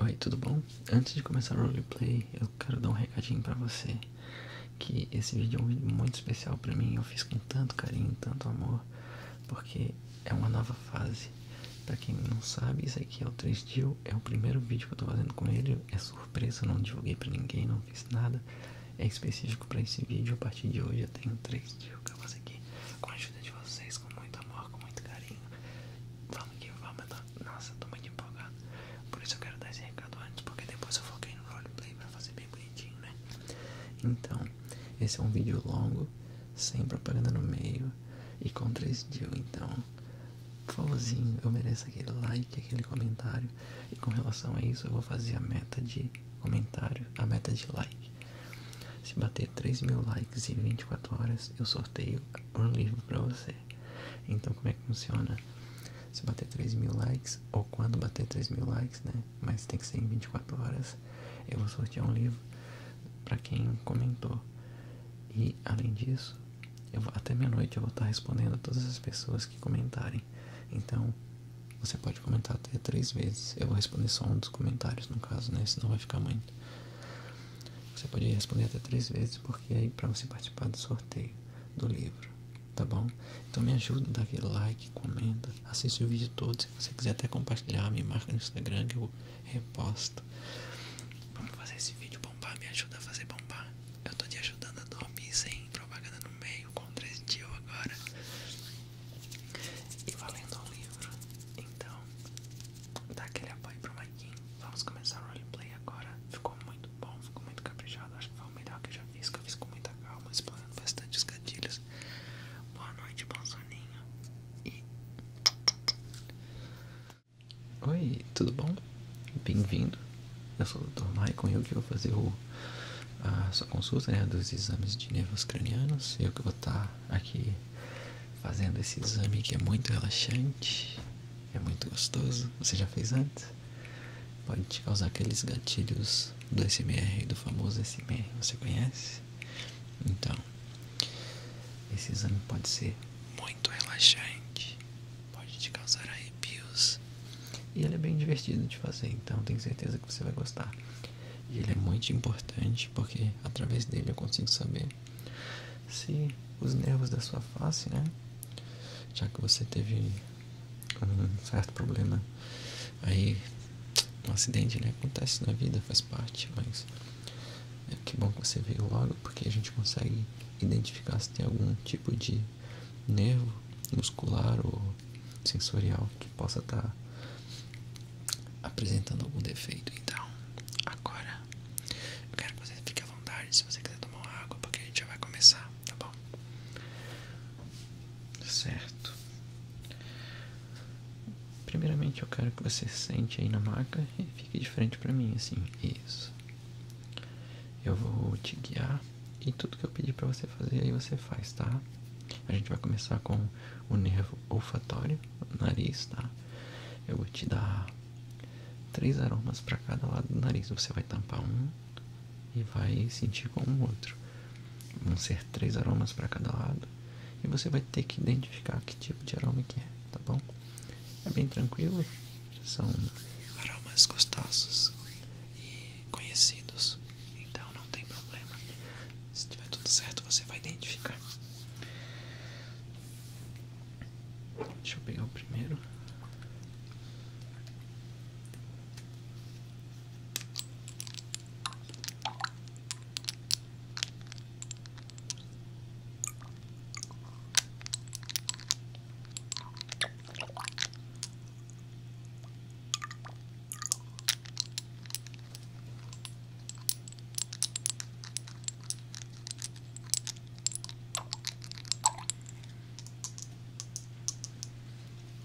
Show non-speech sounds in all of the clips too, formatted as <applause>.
Oi, tudo bom? Antes de começar o roleplay, eu quero dar um recadinho para você que esse vídeo é um vídeo muito especial para mim, eu fiz com tanto carinho, tanto amor, porque é uma nova fase Pra quem não sabe, isso aqui é o 3 Deal, é o primeiro vídeo que eu tô fazendo com ele, é surpresa, não divulguei pra ninguém, não fiz nada. É específico pra esse vídeo, a partir de hoje eu tenho 3 Deal que eu faço aqui com a ajuda de vocês, com muito amor, com muito carinho. Vamos que vamos, tá? nossa, tô muito empolgado. Por isso eu quero dar esse recado antes, porque depois eu foquei no roleplay pra fazer bem bonitinho, né? Então, esse é um vídeo longo, sem propaganda no meio e com 3 Deal, então favorzinho, eu mereço aquele like, aquele comentário. E com relação a isso, eu vou fazer a meta de comentário, a meta de like. Se bater 3 mil likes em 24 horas, eu sorteio um livro para você. Então, como é que funciona? Se bater 3 mil likes, ou quando bater 3 mil likes, né? Mas tem que ser em 24 horas, eu vou sortear um livro para quem comentou. E, além disso, até meia-noite eu vou estar respondendo a todas as pessoas que comentarem. Então, você pode comentar até três vezes. Eu vou responder só um dos comentários, no caso, né? Senão vai ficar muito. Você pode responder até três vezes, porque aí é para você participar do sorteio do livro, tá bom? Então me ajuda, dá aquele like, comenta, assiste o vídeo todo. Se você quiser até compartilhar, me marca no Instagram que eu reposto. Vamos fazer esse vídeo bombar, me ajuda a fazer bombar. Eu tô te ajudando a dormir sem propaganda no meio, com 3 dias agora. E valendo um livro, então dá aquele apoio pro Maikin. Vamos começar o roleplay agora. Ficou muito bom, ficou muito caprichado. Acho que foi o melhor que eu já fiz, que eu fiz com muita calma, explorando bastante os gatilhos. Boa noite, bom soninho. E Oi, tudo bom? Bem-vindo. Eu sou o Dr. Maicon e eu que vou fazer a sua consulta né, dos exames de nervos cranianos. Eu que vou estar tá aqui fazendo esse exame que é muito relaxante, é muito gostoso. Você já fez antes? Pode te causar aqueles gatilhos do SMR, do famoso SMR, você conhece? Então, esse exame pode ser muito muito relaxante, pode te causar arrepios e ele é bem divertido de fazer, então tenho certeza que você vai gostar. E ele é muito importante porque através dele eu consigo saber se os nervos da sua face, né? Já que você teve um certo problema aí, um acidente, né? Acontece na vida, faz parte, mas é que bom que você veio logo, porque a gente consegue identificar se tem algum tipo de nervo muscular ou sensorial que possa estar tá apresentando algum defeito. Então, agora eu quero que você fique à vontade se você quiser tomar uma água, porque a gente já vai começar, tá bom? Certo. Primeiramente eu quero que você sente aí na maca e fique de frente para mim, assim. Isso. Eu vou te guiar e tudo que eu pedi para você fazer aí você faz, tá? A gente vai começar com o nervo olfatório, o nariz, tá? Eu vou te dar três aromas para cada lado do nariz. Você vai tampar um e vai sentir com o outro. Vão ser três aromas para cada lado e você vai ter que identificar que tipo de aroma que é, tá bom? É bem tranquilo são aromas gostosos e conhecidos, então não tem problema. Se tiver tudo certo, você vai identificar. Deixa eu pegar o primeiro.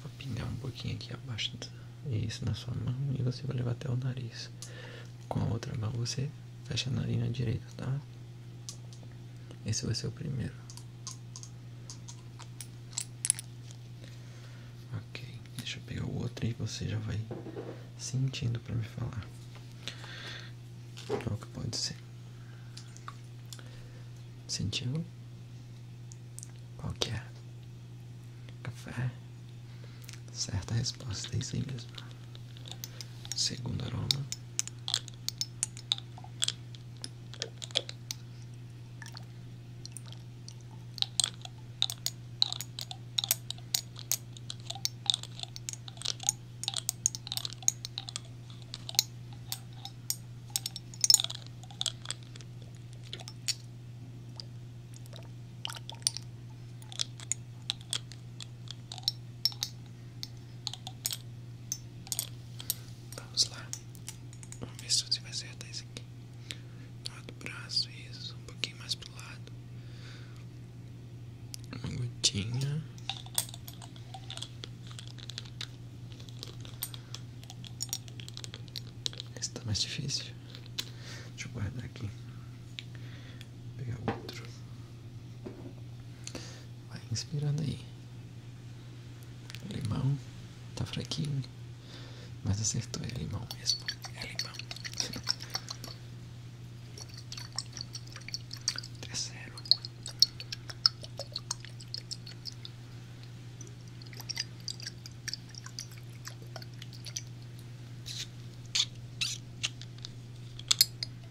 Vou pingar um pouquinho aqui abaixo isso na sua mão e você vai levar até o nariz. Com a outra mão você fecha a narina direita, tá? Esse vai ser o primeiro. Ok, deixa eu pegar o outro e você já vai sentindo para me falar. Qual que pode ser? Sentiu? Qual que é? Café? Certa resposta, é isso aí mesmo. Segundo aroma. Vamos lá. Vamos ver se você vai acertar isso aqui. Do lado do braço, isso. Um pouquinho mais pro lado. Uma gotinha. Esse tá mais difícil. Deixa eu guardar aqui pegar outro. Vai inspirando aí. É limão. Tá fraquinho. Mas acertou, é limão mesmo. É limão.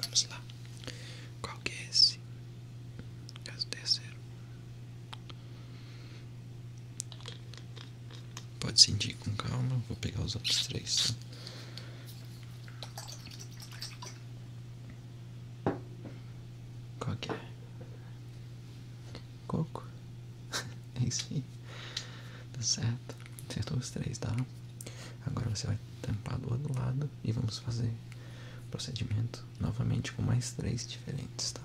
Vamos lá. Qual que é esse? caso terceiro. Pode sentir com calma, vou pegar os outros três. Tá? Qual que é? Coco? <laughs> é isso aí. Tá certo. Acertou os três, tá? Agora você vai tampar do outro lado e vamos fazer o procedimento novamente com mais três diferentes, tá?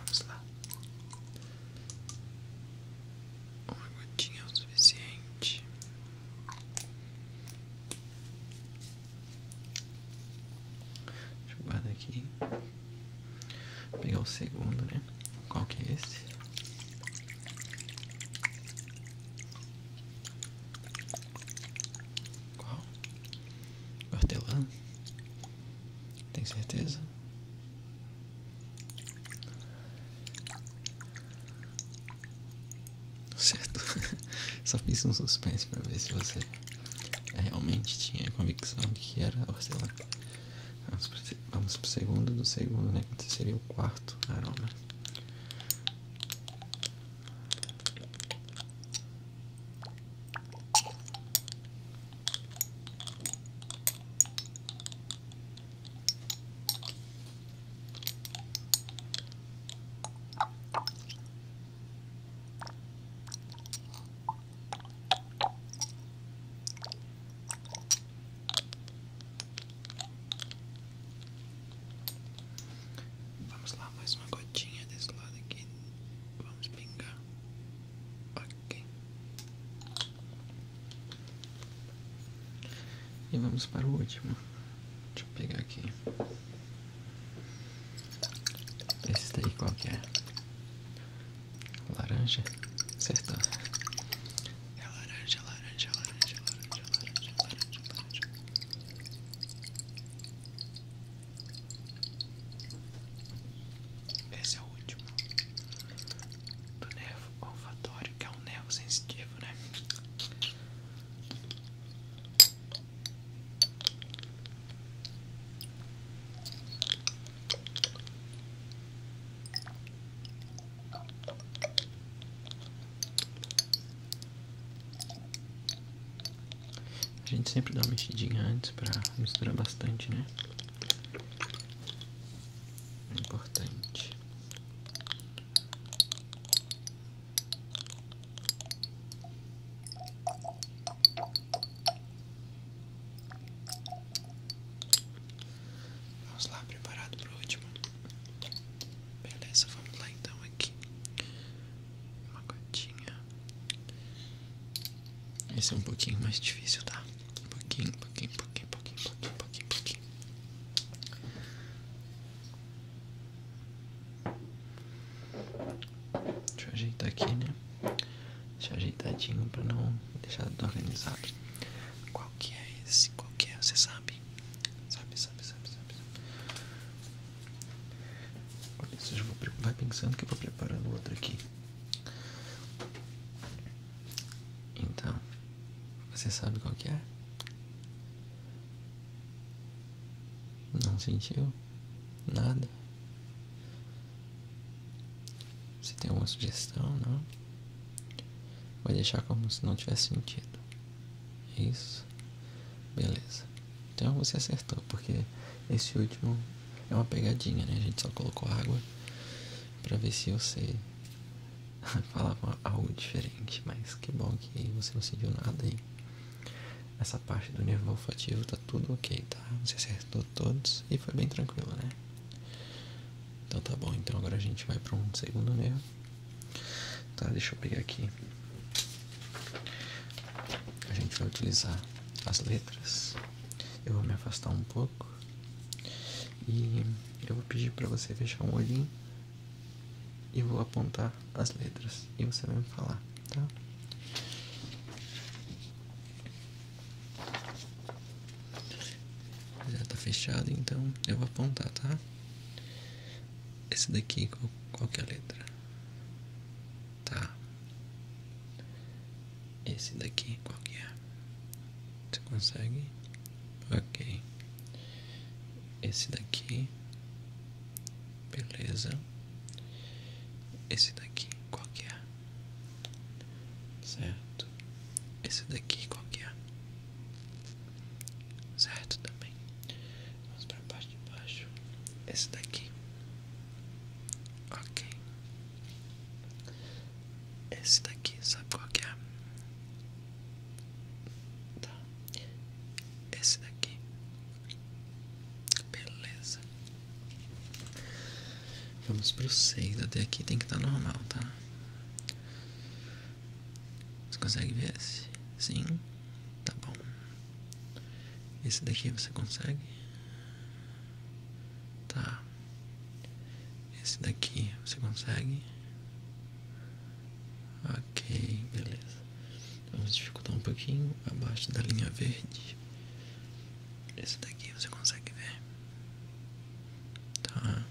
Vamos lá. Uma gotinha é o suficiente. Deixa eu guardar aqui. Vou pegar o segundo, né? Qual que é esse? Qual? Hortelã? Tem certeza? Certo? <laughs> Só fiz um suspense pra ver se você realmente tinha convicção de que era hortelã. Vamos pro, vamos pro segundo do segundo, né? Que seria o quarto aroma. Vamos lá, mais uma gotinha desse lado aqui. Vamos pingar. aqui e vamos para o último. Deixa eu pegar aqui. Esse daí qual que é? Laranja? Acertou. É laranja, laranja, laranja, laranja, laranja, laranja, Esse é o último. Do nervo. O olfatório, que é um nervo sensitivo, né? A gente sempre dá uma mexidinha antes para misturar bastante, né? É importante. Vamos lá, preparado para o último. Beleza, vamos lá então aqui. Uma gotinha. Esse é um pouquinho mais difícil, tá? Um pouquinho, pouquinho, pouquinho, pouquinho, pouquinho, pouquinho, pouquinho. Deixa eu ajeitar aqui, né? Deixa ajeitadinho para não deixar organizado. Qual que é esse? Qual que é? Você sabe? Sabe, sabe, sabe, sabe. Olha, você já vai pensando que eu vou preparando outro aqui. Então. Você sabe qual que é? Não sentiu? Nada? Você tem alguma sugestão, não? Vai deixar como se não tivesse sentido. É isso. Beleza. Então você acertou, porque esse último é uma pegadinha, né? A gente só colocou água pra ver se eu sei. <laughs> falava algo diferente, mas que bom que você não sentiu nada aí. Essa parte do nervo olfativo tá tudo ok, tá? Você acertou todos e foi bem tranquilo, né? Então tá bom, então agora a gente vai para um segundo nervo. Tá, deixa eu pegar aqui. A gente vai utilizar as letras. Eu vou me afastar um pouco. E eu vou pedir para você fechar um olhinho e vou apontar as letras e você vai me falar, tá? Já tá fechado, então eu vou apontar, tá? Esse daqui, qual, qual que é a letra? Tá. Esse daqui, qual que é? Você consegue? Ok. Esse daqui. Beleza. Esse daqui, qual que é? Certo. Esse daqui, qual que é? Certo também. Vamos para a parte de baixo. Esse daqui. Ok. Esse daqui, sabe qual que é? Tá. Esse daqui. Beleza. Vamos pro 6. Até aqui tem que estar tá normal, tá? Você consegue ver esse? Sim? Tá bom. Esse daqui você consegue? Tá. Esse daqui você consegue? Ok, beleza. Vamos dificultar um pouquinho abaixo da linha verde. Esse daqui você consegue ver. Tá.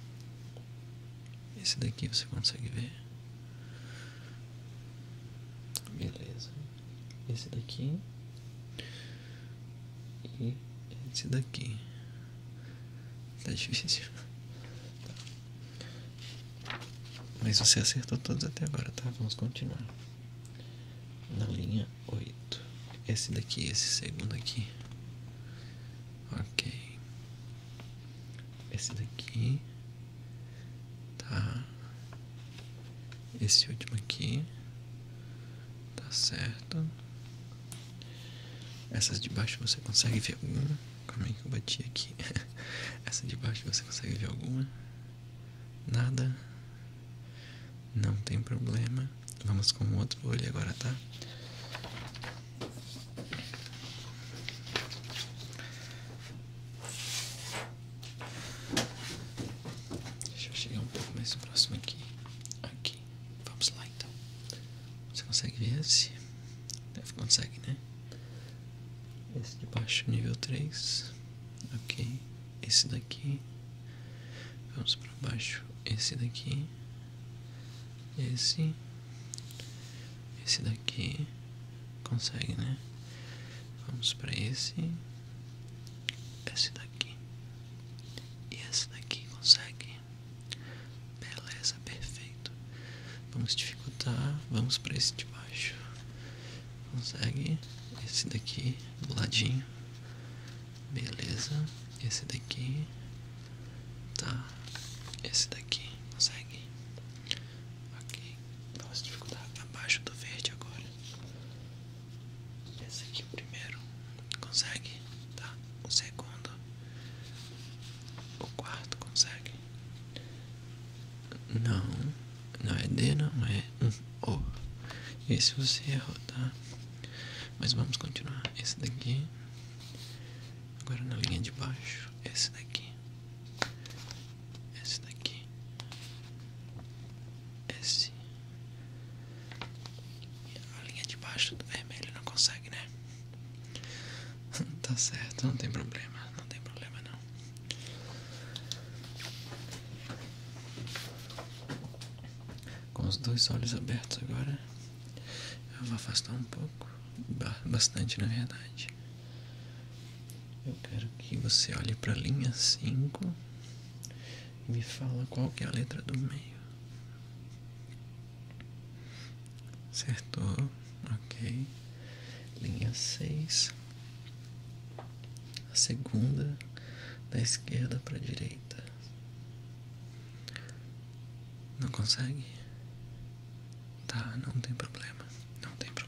Esse daqui você consegue ver. Beleza. Esse daqui. E esse daqui. Tá difícil. Tá. Mas você acertou todos até agora, tá? Vamos continuar. Na linha 8. Esse daqui, esse segundo aqui. Ok. Esse daqui. Tá. Esse último aqui. Tá certo. Essas de baixo você consegue ver alguma? Como é que eu bati aqui? <laughs> Essa de baixo você consegue ver alguma? Nada? Não tem problema. Vamos com o outro olho agora, tá? Deixa eu chegar um pouco mais próximo aqui. Aqui. Vamos lá então. Você consegue ver esse? consegue, né? Esse de baixo, nível 3. Ok. Esse daqui. Vamos para baixo. Esse daqui. Esse. Esse daqui. Consegue, né? Vamos para esse. Esse daqui. E esse daqui consegue. Beleza, perfeito. Vamos dificultar, vamos para esse de baixo. Consegue esse daqui do ladinho. Beleza, esse daqui. Tá, esse daqui. Consegue? Ok, vamos dificultar abaixo do verde agora. Esse aqui o primeiro. Consegue? Tá, o segundo. O quarto consegue? Não, não é D, não é um O. Esse você errou, tá? Mas vamos continuar. Esse daqui. Agora na linha de baixo. Esse daqui. Esse daqui. Esse. A linha de baixo do é vermelho não consegue, né? <laughs> Tá certo, não tem problema, não tem problema não. Com os dois olhos abertos agora, eu vou afastar um pouco, bastante na verdade. Eu quero que você olhe para a linha 5 e me fala qual é a letra do meio. Acertou, ok. Linha seis, A segunda da esquerda para direita. Não consegue? Tá, não tem problema. Não tem problema.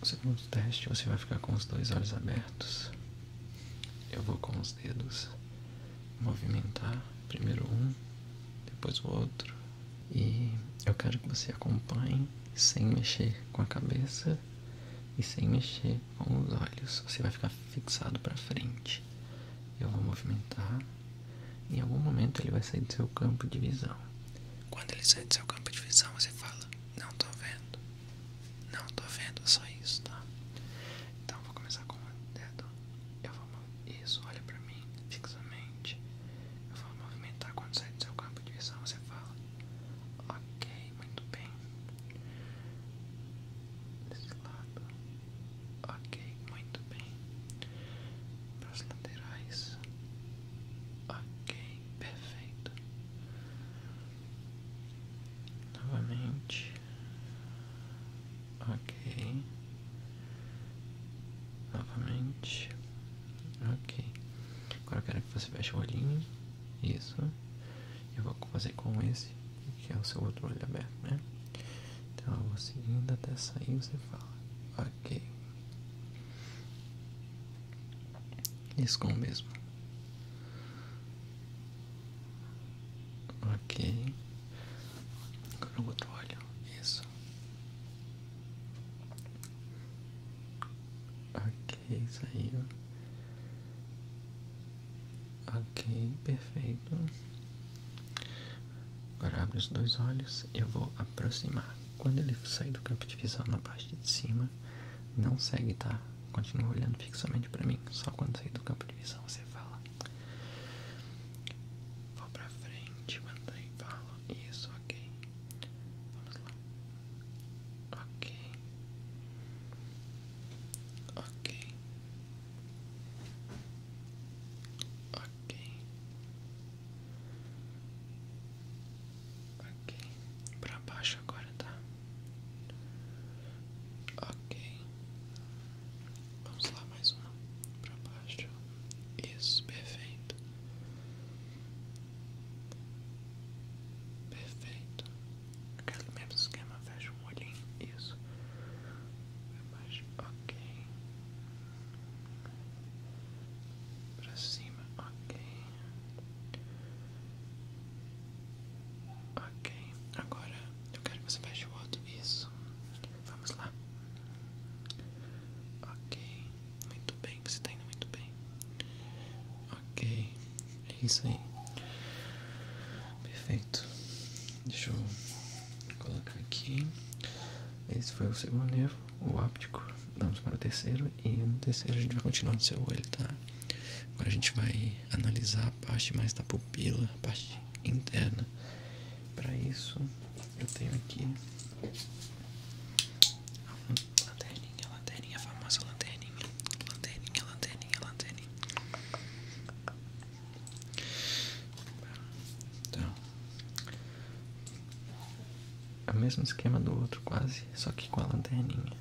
No segundo teste, você vai ficar com os dois olhos abertos. Eu vou com os dedos movimentar primeiro um, depois o outro. E eu quero que você acompanhe sem mexer com a cabeça e sem mexer com os olhos. Você vai ficar fixado para frente. Eu vou movimentar. Em algum momento ele vai sair do seu campo de visão. Quando ele sair do seu campo de visão, você fala: não tô vendo. Não tô vendo é só isso, tá? Então vou começar com o dedo. Eu vou isso, olha pra mim fixamente. Eu vou movimentar quando sair do seu campo de visão, você fala. Ok, muito bem. Desse lado. Ok, muito bem. Para as laterais. Ok, perfeito. Novamente. Ok. Novamente. Ok. Agora eu quero que você feche o olhinho. Isso. Eu vou fazer com esse, que é o seu outro olho aberto, né? Então eu vou seguindo até sair você fala. Ok. Escom mesmo. Ok. Agora o outro olho. Isso. Ok, saiu. Ok, perfeito. Agora abre os dois olhos. Eu vou aproximar. Quando ele sair do campo de visão na parte de cima, não segue, tá? Continua olhando fixamente pra mim. Só quando sair do campo de visão você fala. Vou pra frente, mantém, falo. Isso, ok. Vamos lá. Ok. Ok. Ok. Ok, pra baixo agora, tá? Ok. Vamos lá, mais uma pra baixo. Isso, perfeito. Perfeito. Aquele mesmo esquema, fecha um olhinho. Isso. Pra baixo, ok. Pra cima, ok. Ok, agora eu quero que você feche o outro. Isso. Vamos lá. Ok, muito bem, você está indo muito bem. Ok, é isso aí. Perfeito. Deixa eu colocar aqui. Esse foi o segundo nervo o óptico. Vamos para o terceiro e no terceiro a gente vai continuar no seu olho, tá? Agora a gente vai analisar a parte mais da pupila, a parte interna. Para isso eu tenho aqui a lanterninha, lanterninha, a famosa lanterninha, lanterninha, lanterninha, lanterninha. Então, é o mesmo esquema do outro quase, só que com a lanterninha.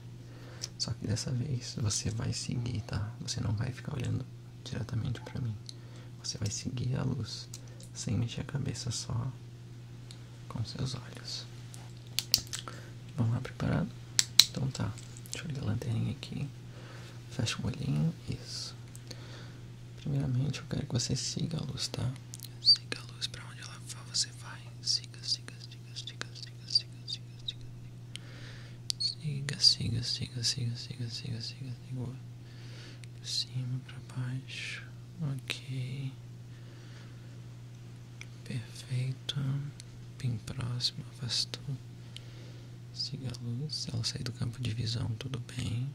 Só que dessa vez você vai seguir, tá? Você não vai ficar olhando diretamente para mim. Você vai seguir a luz, sem mexer a cabeça, só com seus olhos. Vamos lá, preparado? Então tá. Deixa eu ligar a lanterninha aqui. Fecha o olhinho, isso. Primeiramente eu quero que você siga a luz, tá? Siga a luz pra onde ela for, você vai. Siga, siga, siga, siga, siga, siga, siga, siga. Siga, siga, siga, siga, siga, siga, siga, siga. De cima pra baixo. Ok. Perfeito. Bem próximo, afastou. Siga a luz. Ela sai do campo de visão, tudo bem.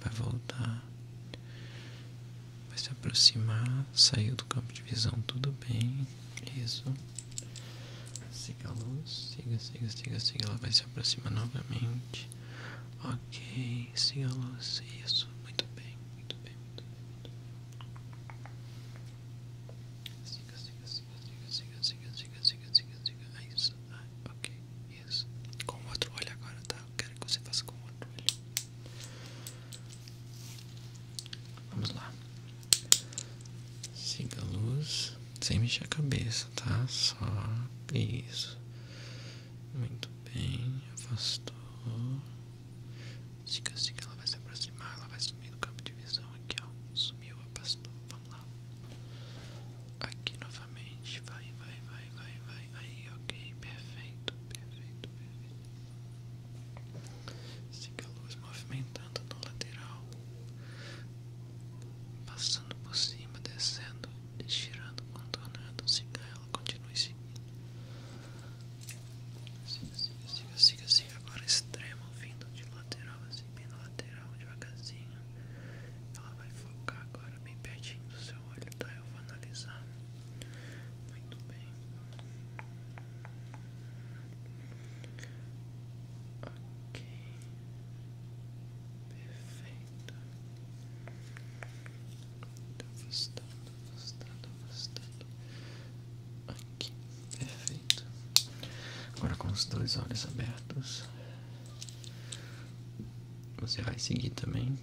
Vai voltar. Vai se aproximar, saiu do campo de visão, tudo bem. Isso. Siga a luz, siga, siga, siga, siga. Ela vai se aproximar novamente. Ok, siga a luz, isso. Muito bem, muito bem, muito bem. Muito bem. Siga, siga, siga, siga, siga, siga, siga, siga, siga, siga. Isso, ah, ok, isso. Com o outro olho agora, tá? Eu quero que você faça com o outro olho. Vamos lá. Siga a luz sem mexer a cabeça, tá? Só isso. Muito bem, afastou. Siga, siga, ela vai se aproximar, ela vai sumir do campo de visão aqui, ó. Sumiu, afastou. Vamos lá. Aqui novamente, vai, vai, vai, vai, vai. Aí, ok, perfeito, perfeito, perfeito. Siga a luz movimentando no lateral, passando por cima, descendo, girando, contornando. Siga ela, continue seguindo. Siga, siga, siga, siga, Agora extremo, vindo de lateral, assim, bem no lateral, devagarzinho. Ela vai focar agora bem pertinho do seu olho, tá? Eu vou analisar. Muito bem. Ok. Perfeito. Tô gostando, gostando, Aqui. Perfeito. Agora com os dois olhos abertos. Você vai seguir também.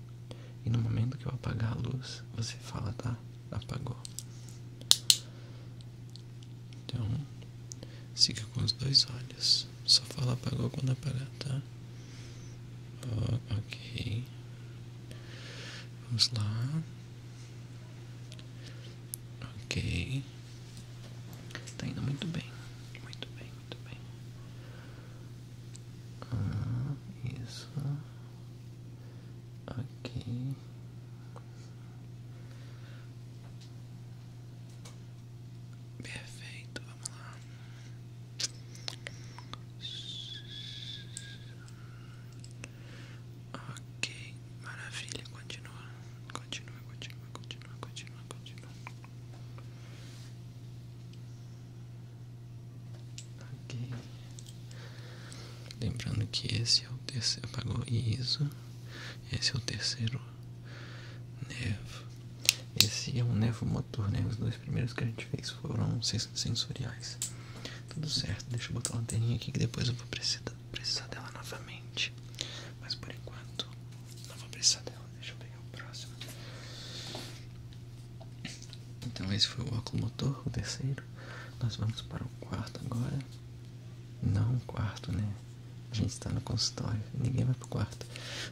E no momento que eu apagar a luz, você fala, tá? apagou. Então, siga com os dois olhos. Só fala apagou quando apagar, tá? ok. Vamos lá. Ok. Tá indo muito bem. Muito bem, muito bem. Ah, isso aqui. Perfeito, vamos lá. Ok, maravilha, continua, continua, continua, continua, continua, continua. Lembrando que esse é o terceiro. Apagou isso. Esse é o terceiro nevo. Esse é um nevo motor, né? Os dois primeiros que a gente fez foram sensoriais. Tudo certo, deixa eu botar a lanterninha aqui que depois eu vou precisar, precisar dela novamente. Mas por enquanto, não vou precisar dela. Deixa eu pegar o próximo. Então esse foi o óculo motor, o terceiro. Nós vamos para o quarto agora. Não o quarto, né? A gente está no consultório, ninguém vai para o quarto.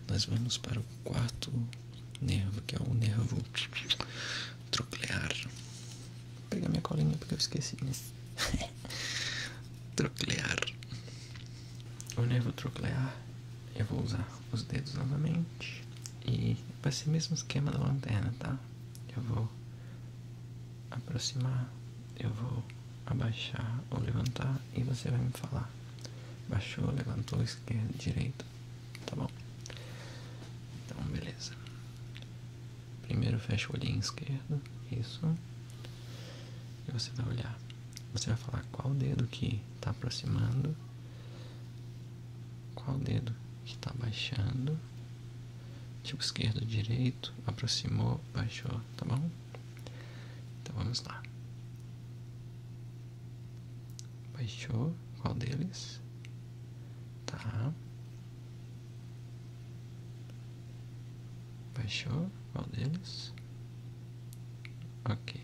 Nós vamos para o quarto nervo, que é o nervo troclear. Vou pegar minha colinha porque eu esqueci, né? <laughs> troclear. O nervo troclear, eu vou usar os dedos novamente. E vai ser o mesmo esquema da lanterna, tá? eu vou aproximar, eu vou abaixar ou levantar e você vai me falar. Baixou, levantou, esquerda, direita, tá bom? Então, beleza. Primeiro fecha o olhinho esquerdo, isso. E você vai olhar. Você vai falar qual dedo que está aproximando qual dedo que está baixando? Tipo esquerdo, direito, aproximou, baixou, tá bom? Então vamos lá. Baixou, qual deles? Tá. Baixou, qual deles? Ok.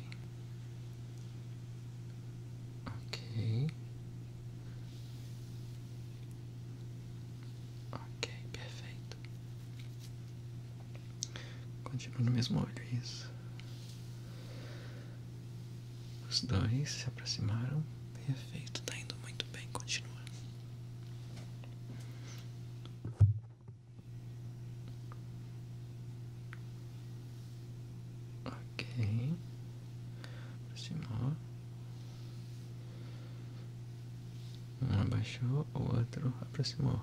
Ok. Ok, perfeito. Continua no mesmo olho, isso. Os dois se aproximaram. Perfeito, está indo muito bem. Continua. Ok. Aproximou. Um abaixou, o outro aproximou.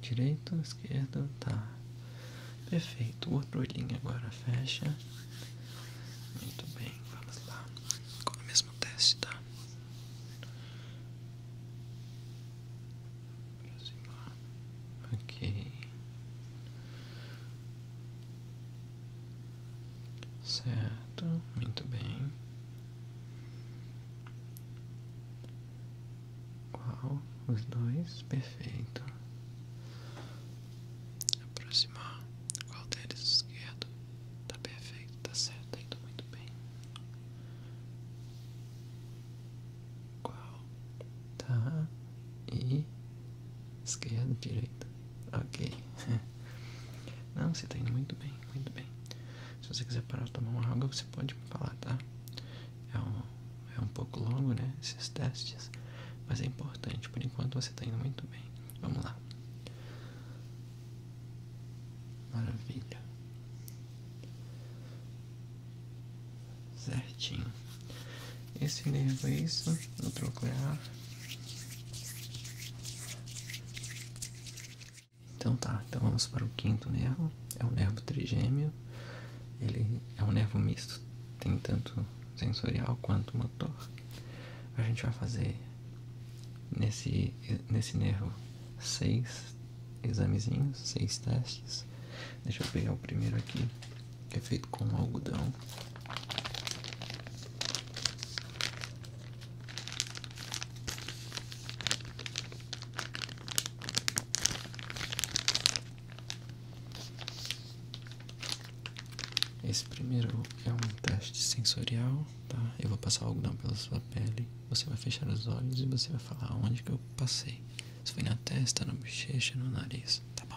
Direito, esquerdo, tá. Perfeito. outro olhinho agora fecha. Muito bem, vamos lá. Com o mesmo teste, tá? Ok. Certo, muito bem. Qual? Os dois? Perfeito. Aproximar. Qual deles? Esquerdo. Tá perfeito, tá certo, indo muito bem. Qual? Tá. E Esquerda, direita. Ok. <laughs> Não, você está indo muito bem, muito bem. Se você quiser parar de tomar uma água, você pode me falar, tá? É um, é um pouco longo, né? Esses testes. Mas é importante. Por enquanto você está indo muito bem. Vamos lá. Maravilha. Certinho esse nervo é isso, o troclear. Então tá, então vamos para o quinto nervo, é o nervo trigêmeo, ele é um nervo misto, tem tanto sensorial quanto motor. A gente vai fazer nesse, nesse nervo seis examezinhos, seis testes. Deixa eu pegar o primeiro aqui que é feito com algodão. Esse primeiro é um teste sensorial, tá? Eu vou passar o algodão pela sua pele, você vai fechar os olhos e você vai falar onde que eu passei. Se foi na testa, na bochecha, no nariz, tá bom?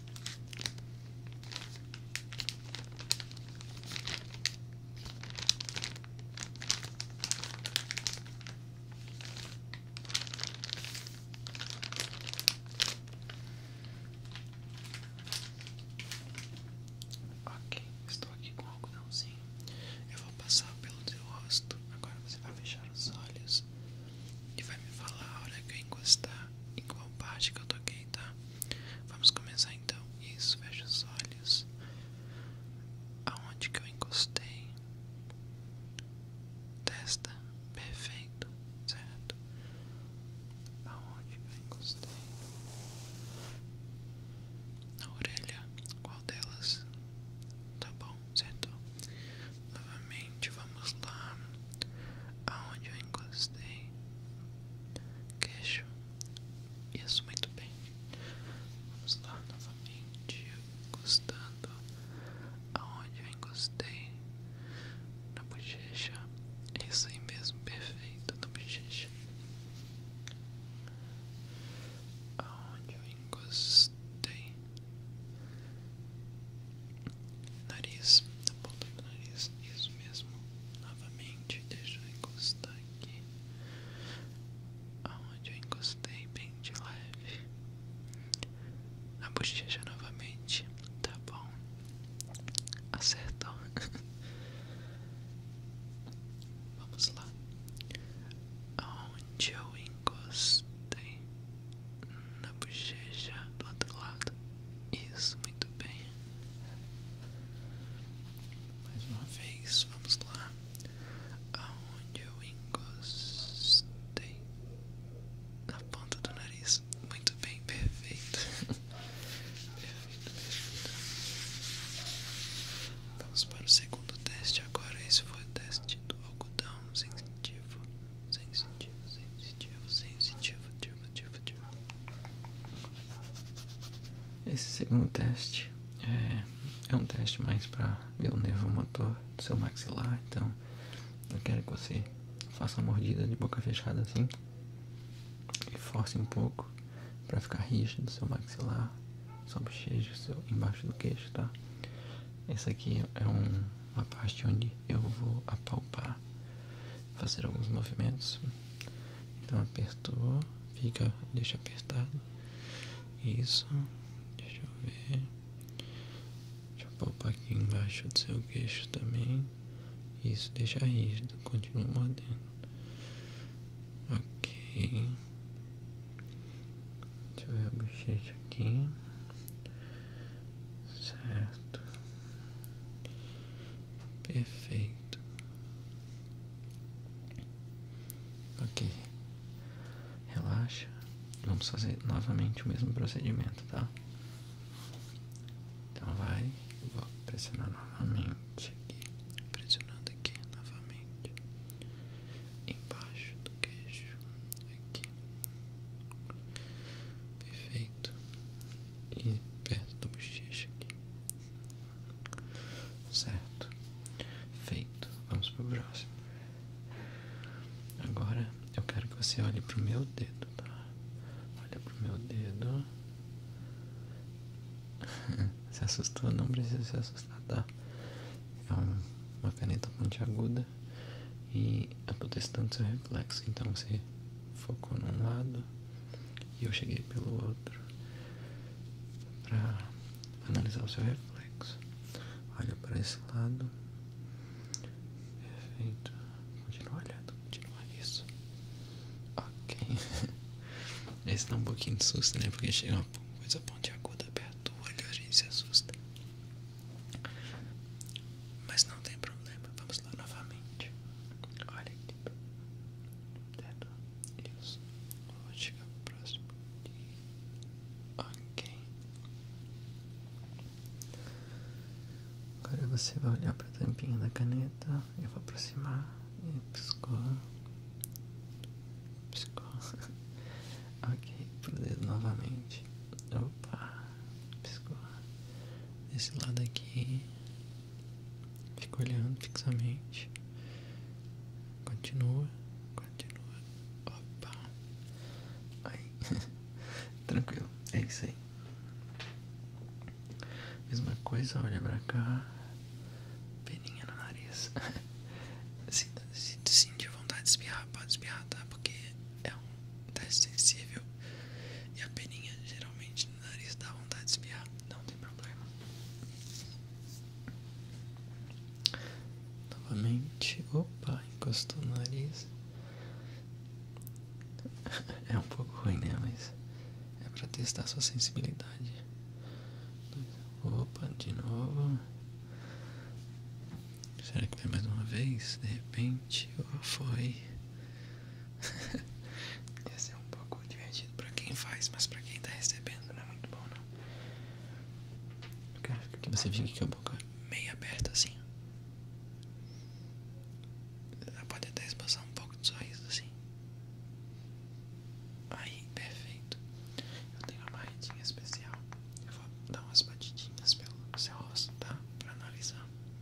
Ok, estou aqui com o algodãozinho. Eu vou passar pelo teu rosto. Agora você vai fechar os olhos e vai me falar a hora que eu encostar em qual parte que eu toquei, tá? Vamos começar então. Isso, Veja os olhos. Aonde que eu encostei? Testa, perfeito, certo? Aonde que eu encostei? Na orelha, qual delas? Tá bom, certo? Novamente vamos lá aonde eu encostei queixo. Isso muito bem. Vamos lá novamente encostando aonde eu encostei na bochecha. Isso aí mesmo, perfeito na bochecha. Aonde eu encostei Nariz, tá ponta do nariz, isso mesmo. Novamente, deixa eu encostar aqui. Aonde eu encostei, bem de leve. a bochecha novamente, tá bom. Acertou. <laughs> Vamos lá. Aonde eu encostei na bochecha do outro lado. Isso, muito bem. Mais uma vez, vamos lá. Aonde eu encostei? Na ponta do nariz. Muito bem, perfeito. <laughs> perfeito, perfeito. Vamos para o segundo teste agora. Esse foi o teste do algodão sensitivo. Sensitivo, sensitivo, sensitivo, turbo, turbo, turbo. Esse segundo teste é, é um teste mais para ver o nervo motor do seu maxilar, então eu quero que você faça uma mordida de boca fechada assim e force um pouco para ficar rígido do seu maxilar, sua bochecha, seu, embaixo do queixo, tá? Esse aqui é um uma parte onde eu vou apalpar, fazer alguns movimentos. Então apertou, fica, deixa apertado. Isso, deixa eu ver. Deixa eu palpar aqui embaixo do seu queixo também. Isso, deixa rígido, continua mordendo. Ok. Deixa eu ver a bochecha aqui. Certo. Perfeito. Ok. Relaxa. Vamos fazer novamente o mesmo procedimento, tá? Então vai, vou pressionar novamente aqui, pressionando aqui novamente, embaixo do queixo, aqui, Perfeito. E perto da bochecha aqui. Certo. Feito. Vamos pro próximo. Agora eu quero que você olhe pro meu dedo, tá? Olha pro meu dedo. <laughs> Se assustou, não precisa se assustar, tá? É uma caneta pontiaguda esquerda e a protestante seu reflexo. Então você focou num lado e eu cheguei pelo outro para analisar o seu reflexo. Olha para esse lado. Perfeito. Continua olhando, continua isso. Ok. <laughs> Esse dá um pouquinho de susto, né? Porque chega uma coisa pontiaguda perto do olho, a gente se assusta. Mas não tem problema, vamos lá novamente. Olha aqui. Tipo, certo? Isso. Vou chegar próximo. Ok. Agora você vai olhar para a tampinha da caneta. Eu vou aproximar. E piscou. Piscou. <laughs> ok, pro dedo novamente. Opa, piscou. Desse lado aqui. Fica olhando fixamente. Continua, continua. Opa. Aí. <laughs> Tranquilo, é isso aí. Mesma coisa, olha pra cá. Peninha no nariz. <laughs> se, vontade de espirrar, pode espirrar, tá? Porque é um teste sensível e a peninha geralmente no nariz dá vontade de espiar não tem problema. Novamente, opa, encostou no nariz. <laughs> É um pouco ruim, né? Mas é para testar sua sensibilidade. Opa, de novo. Será que tem mais uma vez? De repente, ou foi? <laughs> Ia ser um pouco divertido pra quem faz, mas pra quem tá recebendo não é muito bom, não. Porque que você fica com a boca meio aberta assim. Ela pode até esboçar um pouco de sorriso assim. Aí, perfeito. Eu tenho uma barretinha especial. Eu vou dar umas batidinhas pelo seu rosto, tá? Pra analisar.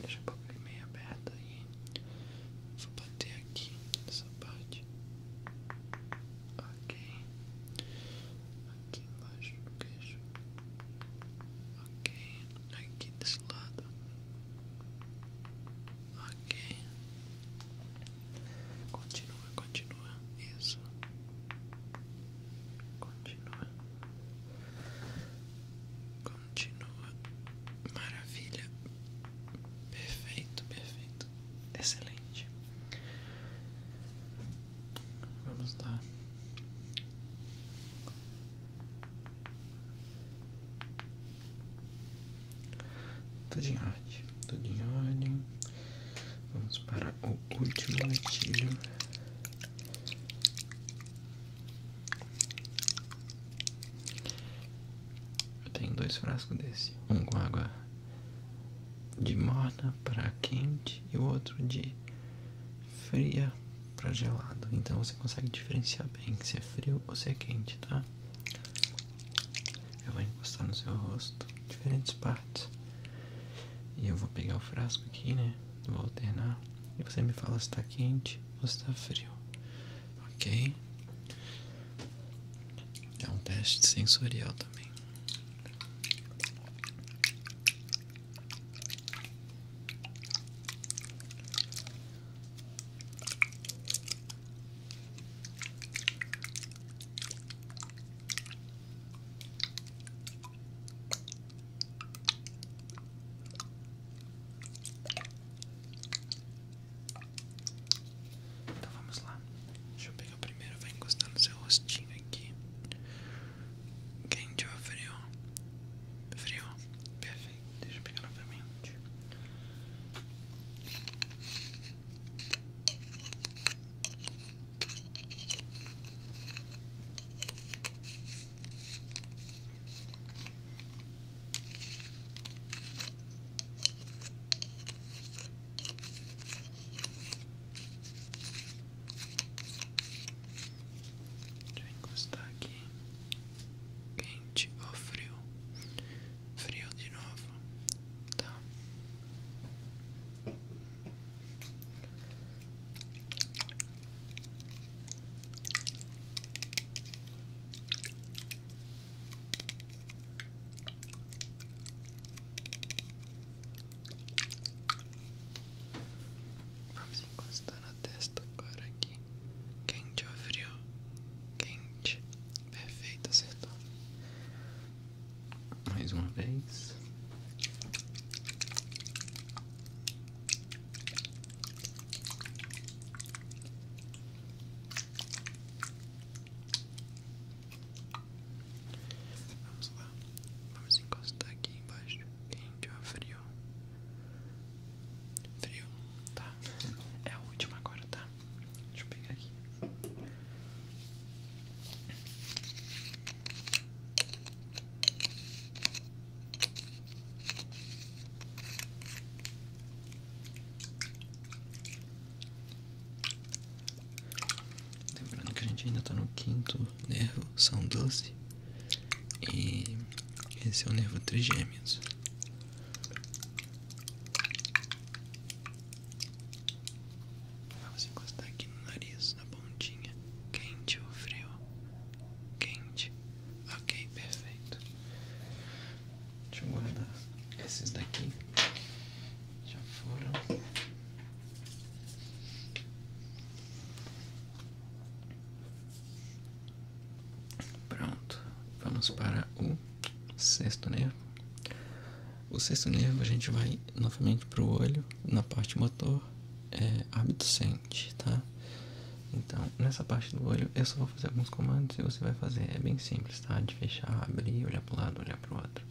Deixa a boca meio aberto aí. Vou bater aqui nessa parte. Ok. Aqui embaixo do queixo. Ok. Aqui desse lado. Ok. Continua, continua. Isso. Continua. Continua. Maravilha. Perfeito, perfeito. Excelente. Vamos lá. Tudo em ordem, tudo em ordem. Vamos para o último gatilho. Eu tenho dois frascos desse, um com água de morna para quente e o outro de fria para gelado. Então você consegue diferenciar bem se é frio ou se é quente, tá? Eu vou encostar no seu rosto, diferentes partes. E eu vou pegar o frasco aqui, né? Vou alternar. E você me fala se tá quente você está frio, ok? É um teste sensorial também. Então vamos lá. Deixa eu pegar primeiro, vai encostar no seu rostinho aqui. Quente ou frio? Frio. Perfeito. Deixa eu pegar novamente. Deixa eu encostar aqui. Quente ou frio? Frio de novo. Tá. Vamos encostar na testa agora aqui. Quente ou frio? Quente. Perfeito, acertou. Mais uma vez. Vamos lá, vamos encostar aqui embaixo quente ou frio? Frio, tá? É a última agora, tá? Deixa eu pegar aqui. Lembrando que a gente ainda tá no quinto nervo, são 12. E esse é o nervo trigêmeos. Vamos encostar aqui no nariz, na pontinha, quente ou frio quente. Ok, perfeito. Deixa eu guardar esses daqui. Já foram. Pronto, vamos para o sexto nervo. O sexto nervo a gente vai novamente para o olho, na parte motor, é árbitro tá? Então, nessa parte do olho, eu só vou fazer alguns comandos e você vai fazer. É bem simples, tá? De fechar, abrir, olhar para pro lado, olhar para o outro.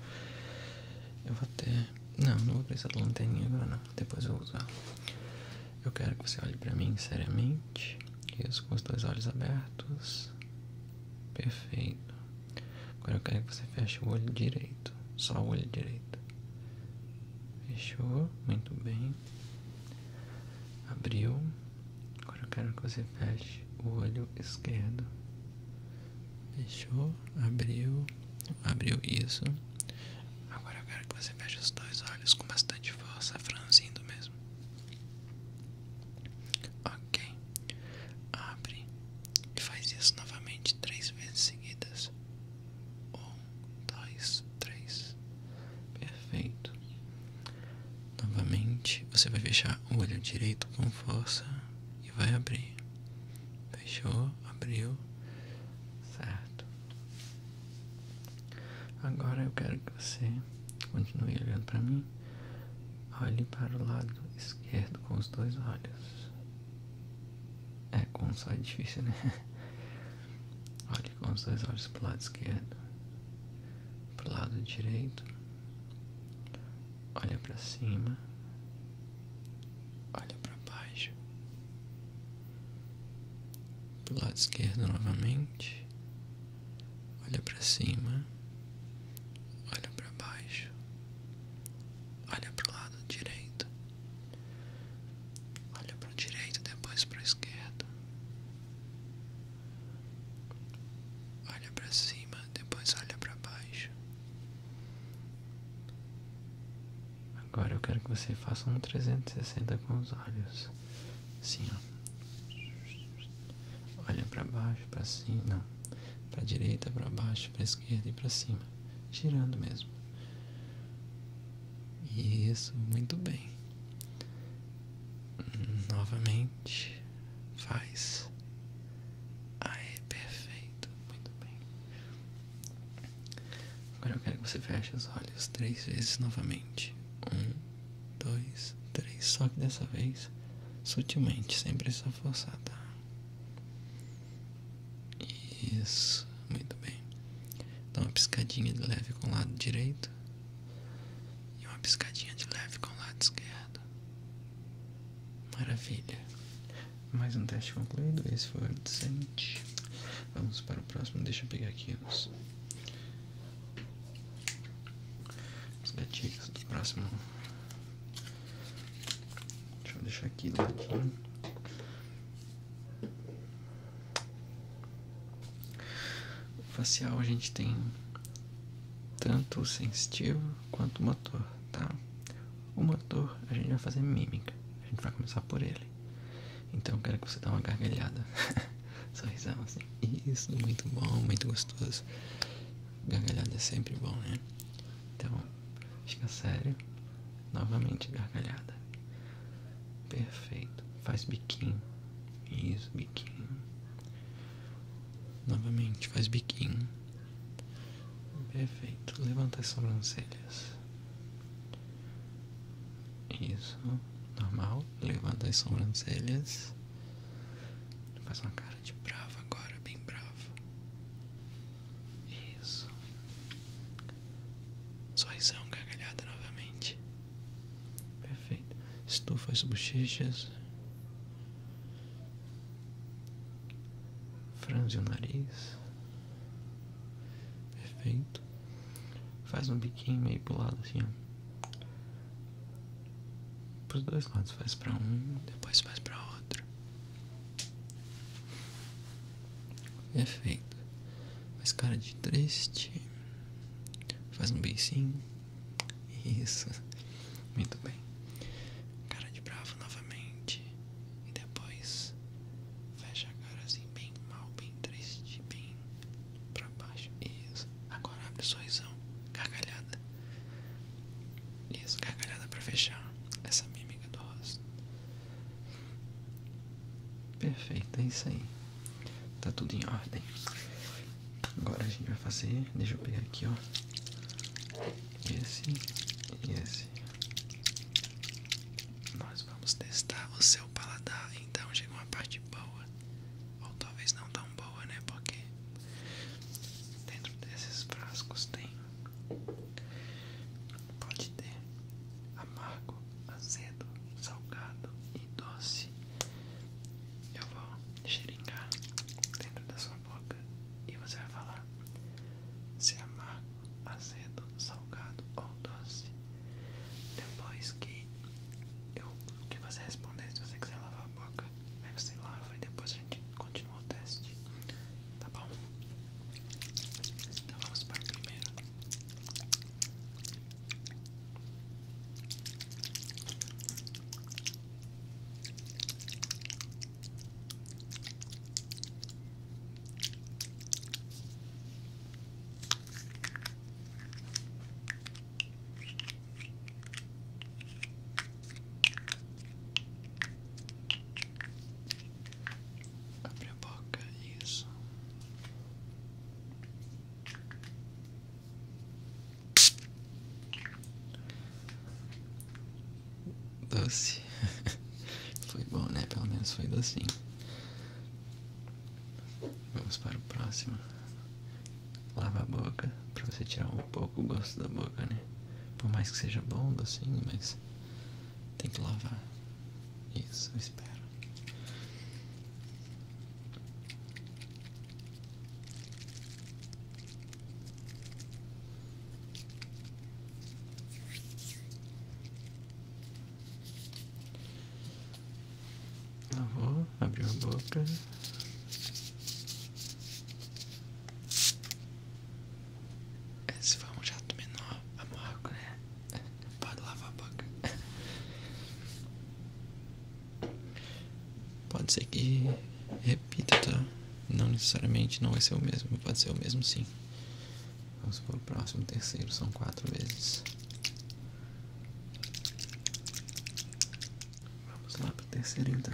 Eu vou até... Não, não vou precisar da lanterninha agora, não. Depois eu vou usar. Eu quero que você olhe para mim seriamente. Isso, com os dois olhos abertos. Perfeito. Agora eu quero que você feche o olho direito. Só o olho direito. Fechou. Muito bem. Abriu. Agora eu quero que você feche o olho esquerdo. Fechou, abriu, abriu isso. Agora eu quero que você feche os dois olhos com bastante força, franzindo mesmo. Ok. Abre e faz isso novamente três vezes seguidas. Um, dois, três. Perfeito. Novamente, você vai fechar o olho direito com força e vai abrir. Fechou, abriu. Certo. Agora eu quero que você continue olhando para mim. Olhe para o lado esquerdo com os dois olhos. É, com um só é difícil, né? <laughs> Olha com os dois olhos para o lado esquerdo, para o lado direito. Olha para cima. Olha para baixo. Para o lado esquerdo novamente. Olha para cima. Olha para baixo. Olha para o lado direito. Olha para a direita, depois para a esquerda. Olha para cima, depois olha para baixo. Agora eu quero que você faça um 360 com os olhos. Assim, ó. Olha para baixo, para cima, não. Para direita, para baixo, para esquerda e para cima. Girando mesmo. Isso, muito bem. Novamente, faz. Aí, perfeito, muito bem. Agora eu quero que você feche os olhos três vezes novamente. Um, dois, três. Só que dessa vez, sutilmente, sem precisar forçar, tá? Isso. Muito bem. Dá uma piscadinha de leve com o lado direito. E uma piscadinha de leve com o lado esquerdo. Maravilha. Mais um teste concluído. Esse foi o decente. Vamos para o próximo. Deixa eu pegar aqui os, gatinhos do próximo. Deixa eu deixar aqui do ladinho. O facial a gente tem tanto o sensitivo quanto o motor, tá? O motor a gente vai fazer mímica, a gente vai começar por ele. Então eu quero que você dê uma gargalhada, <laughs> sorrisão assim. Isso, muito bom, muito gostoso. Gargalhada é sempre bom, né? Então, fica sério. Novamente gargalhada. Perfeito. Faz biquinho. Isso, biquinho. Novamente, faz biquinho. Perfeito. Levanta as sobrancelhas. Isso. Normal. Levanta as sobrancelhas. Faz uma cara de bravo agora, bem bravo Isso. Sorrisão, é gargalhada novamente. Perfeito. Estufa as bochechas. Franze o nariz. Perfeito. Faz um biquinho meio pro lado assim, ó. Pros dois lados. Faz pra um, depois faz pra outro é feita. Mas cara de triste. Faz um beicinho. Isso. Muito bem. Cara de bravo novamente. E depois fecha a cara assim bem mal, bem triste, bem pra baixo. Isso. Agora abre o sorrisão. Gargalhada. Isso, gargalhada pra fechar essa mímica do rosto. Perfeito, é isso aí. Tá tudo em ordem. Agora a gente vai fazer. Deixa eu pegar aqui, ó. Esse e esse. Nós vamos testar o seu paladar. Então chega uma parte boa. Ou talvez não tão boa, né? Porque dentro desses frascos tem. Pode ter amargo, azedo, salgado e doce. Eu vou xeringar dentro da sua boca e você vai falar se é amargo, azedo, salgado ou doce. Depois que eu que você responder, se você quiser lavar a boca, você lava e depois a gente continua o teste. Tá bom? Então vamos para a primeira. Abre a boca, isso. Doce. <laughs> foi bom, né? Pelo menos foi docinho. Vamos para o próximo. Lava a boca para você tirar um pouco o gosto da boca, né? Por mais que seja bom docinho, mas tem que lavar. Isso, eu espero. Eu vou a boca. Esse foi um jato menor, amargo, né? Pode lavar a boca. Pode ser que repita, tá? Não necessariamente não vai ser o mesmo, pode ser o mesmo sim. Vamos para o próximo terceiro, são quatro vezes. Vamos lá para o terceiro então.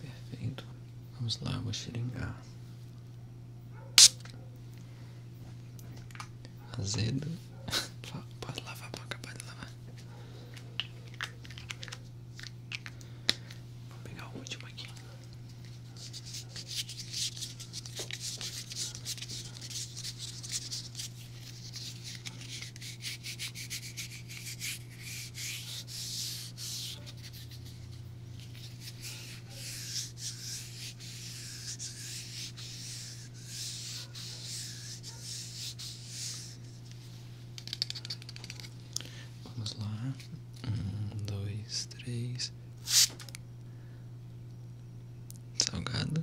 Perfeito. Vamos lá, eu vou xeringar. Azedo. <laughs> Pode lavar, pode acabar de lavar. Vou pegar o último aqui. Vamos lá, um, dois, três, salgado.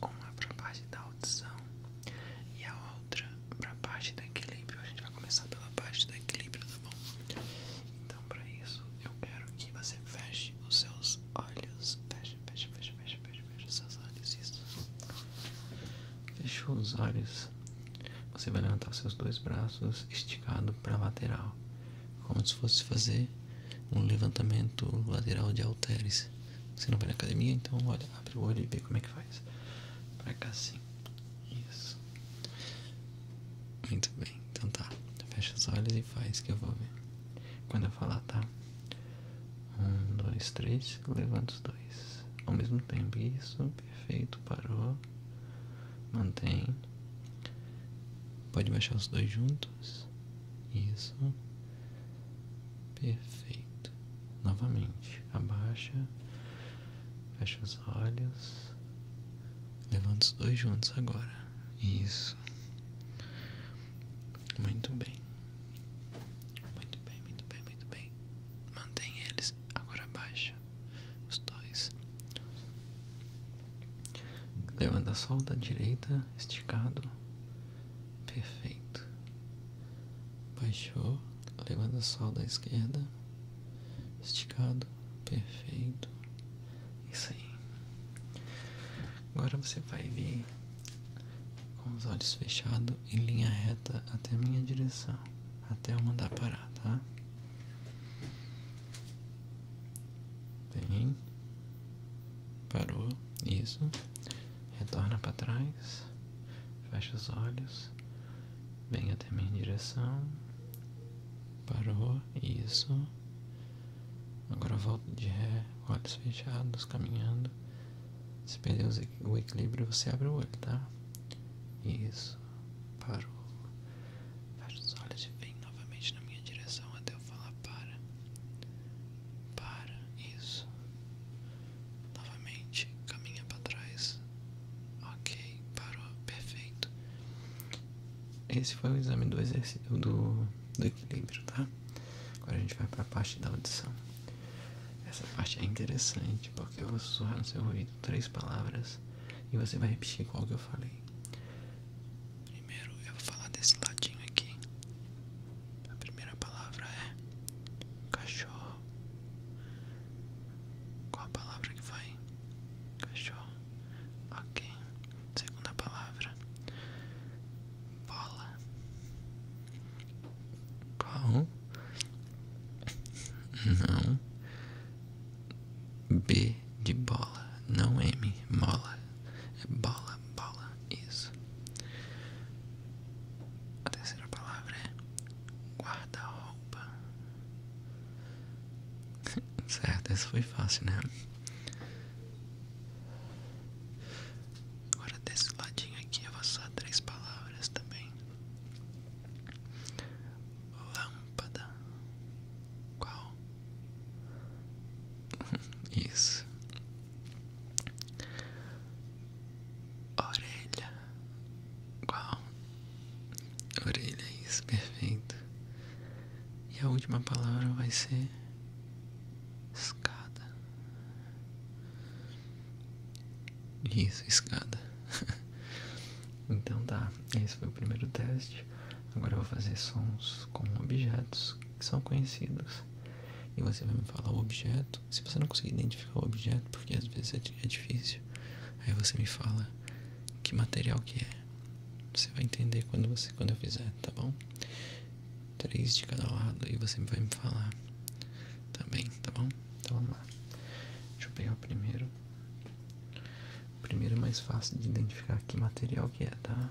uma para a parte da audição e a outra para a parte do equilíbrio. A gente vai começar pela parte do equilíbrio, tá bom? Então, para isso, eu quero que você feche os seus olhos. Feche, feche, feche, feche, feche, feche seus olhos. Isso. Fechou os olhos. Você vai levantar os seus dois braços esticado para lateral, como se fosse fazer um levantamento lateral de halteres. Você não vai na academia, então olha, abre o olho e vê como é que faz. Pra cá sim. Isso. Muito bem, então tá. Fecha os olhos e faz que eu vou ver. Quando eu falar, tá? Um, dois, três, levanta os dois. Ao mesmo tempo, isso, perfeito, parou. Mantém. Pode baixar os dois juntos. Isso. Perfeito. Novamente, abaixa, fecha os olhos, levanta os dois juntos agora. Isso. Muito bem. Muito bem, muito bem, muito bem. Mantém eles agora abaixa, os dois. Levanta solta o direita, esticado. Perfeito. Baixou, levando o sol da esquerda. Esticado. Perfeito. Isso aí. Agora você vai vir com os olhos fechados em linha reta até a minha direção. Até eu mandar parar, tá? Bem. Parou. Isso retorna para trás, fecha os olhos, vem até minha direção, parou, isso. Agora volta de ré, olhos fechados, caminhando. Se perder o equilíbrio, você abre o olho, tá? Isso, parou. Fecha os olhos e vem novamente na minha direção até eu falar para, para, isso, novamente, caminha para trás, ok, parou, perfeito. Esse foi o exame do exercício do, equilíbrio, tá? Agora a gente vai para a parte da audição. Essa parte é interessante porque eu vou sussurrar no seu ouvido três palavras e você vai repetir qual que eu falei. Primeiro eu vou falar desse ladinho aqui. A primeira palavra é cachorro. Qual a palavra que vai? Cachorro. Ok. Segunda palavra. Bola. Qual? Não. B de bola. Não M. Mola. É bola, bola, isso. A terceira palavra é guarda-roupa. <laughs> certo, essa foi fácil, né? Agora desse ladinho aqui eu vou só três palavras também. Lâmpada. Qual? <laughs> Isso. Orelha. Qual? Orelha, isso, perfeito. E a última palavra vai ser escada. Isso, escada. <laughs> então tá, esse foi o primeiro teste. Agora eu vou fazer sons com objetos que são conhecidos. E você vai me falar o objeto. Se você não conseguir identificar o objeto, porque às vezes é, é difícil, aí você me fala que material que é. Você vai entender quando você quando eu fizer, tá bom? Três de cada lado e você vai me falar também, tá bom? Então vamos lá. Deixa eu pegar o primeiro. O primeiro é mais fácil de identificar que material que é, tá?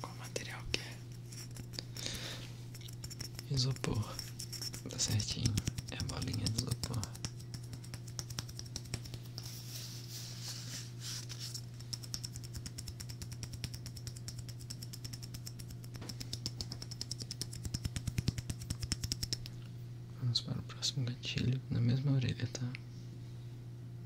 Qual material que é? Isopor. Tá certinho. É a bolinha de isopor. Vamos para o próximo gatilho na mesma orelha, tá?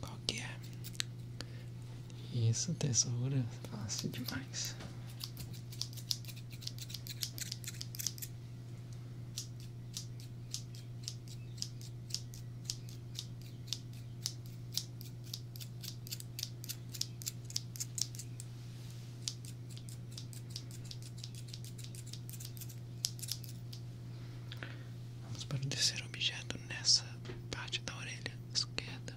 Qual que é? Isso, tesoura, fácil demais. Vamos para o terceiro objeto nessa parte da orelha esquerda.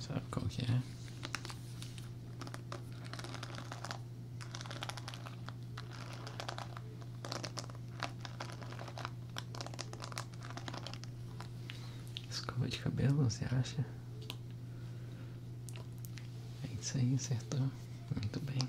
Sabe qual é? Escova de cabelo, você acha? É isso aí, acertou. Muito bem.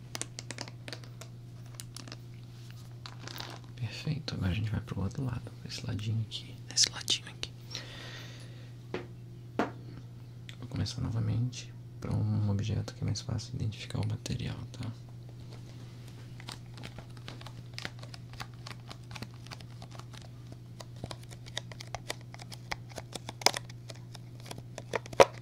Perfeito, agora a gente vai pro outro lado, esse ladinho aqui, nesse ladinho aqui. Vou começar novamente para um objeto que é mais fácil identificar o material, tá?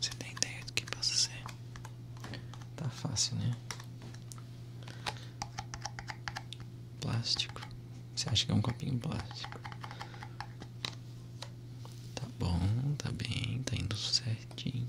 Você tem ideia do que isso é? Tá fácil, né? Plástico. Você acha que é um copinho plástico? Tá bom, tá bem, tá indo certinho.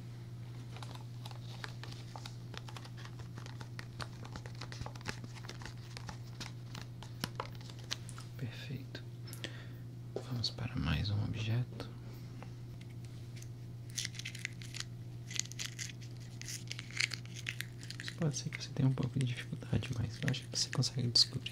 Perfeito. Vamos para mais um objeto. Pode ser que você tenha um pouco de dificuldade, mas acho que você consegue descobrir.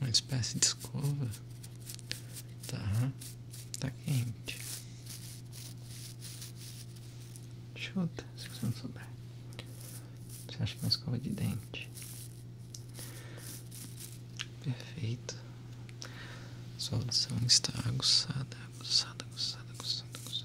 Uma espécie de escova. Tá. Tá quente. Chuta, se você não souber. Você acha que uma escova de dente. Perfeito. Sua audição está aguçada, aguçada, aguçada, aguçada, aguçada.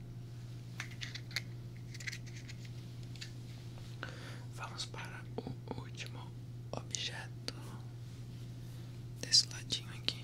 Vamos para o último objeto desse ladinho aqui.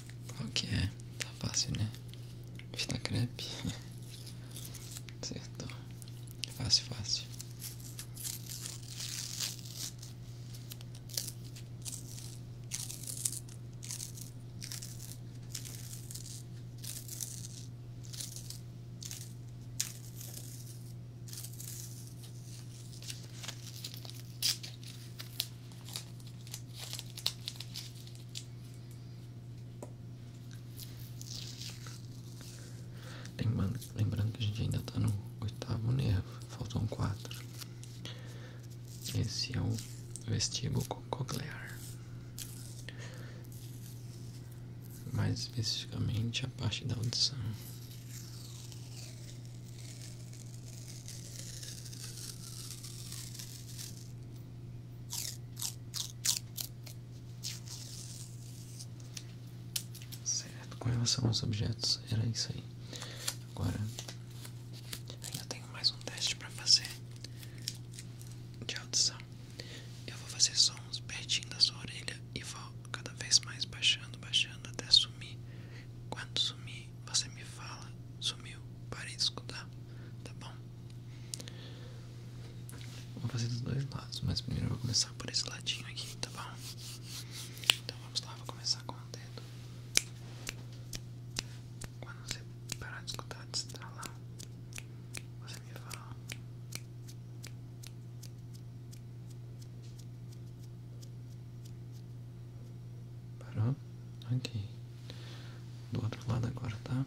Qual que é? Tá fácil, né? está crepe. <laughs> Acertou. Fácil, fácil. Lembrando, que a gente ainda tá no oitavo nervo, né? faltam quatro. Esse é o vestíbulo coclear. Mais especificamente a parte da audição. Certo, com relação aos objetos, era isso aí. Agora, ainda tenho mais um teste para fazer de audição. Eu vou fazer sons pertinho da sua orelha e vou cada vez mais baixando, baixando até sumir. Quando sumir, você me fala. Sumiu, pare de escutar, tá bom? Vou fazer dos dois lados, mas primeiro eu vou começar por esse ladinho aqui, tá bom? Então vamos lá, vou começar com o dedo. Quando você parar de escutar, de estralar, você me fala. Parou? Ok. Do outro lado agora, tá?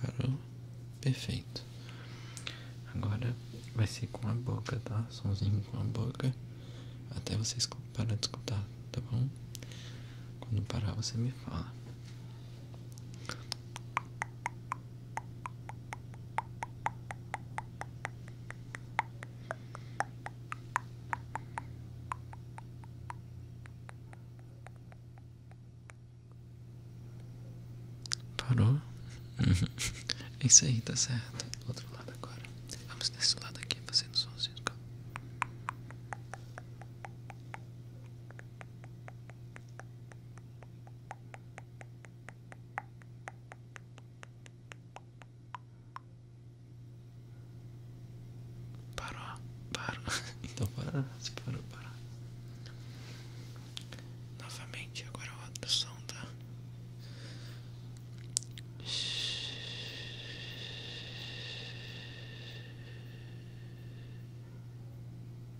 Parou? Perfeito. Agora vai ser com a boca, tá? Sonzinho com a boca. Até vocês parar de escutar tá bom? Quando parar você me fala. Parou? <laughs> é isso aí, tá certo. Outro lado agora. Vamos nesse lado aqui fazendo somzinho. Parou, paro <laughs> Então paro paro paro Novamente, agora é o som, tá?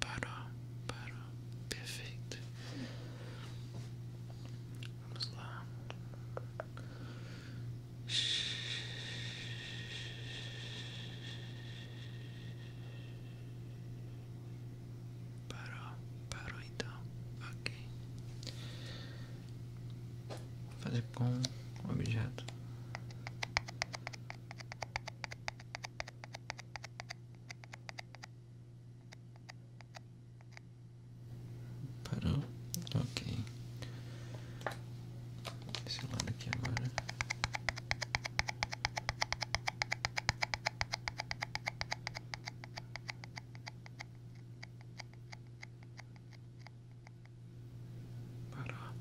Parou, parou, perfeito. Vamos lá. Parou, parou então, ok fazer com um objeto. Parou? Ok. Esse lado aqui agora. Parar.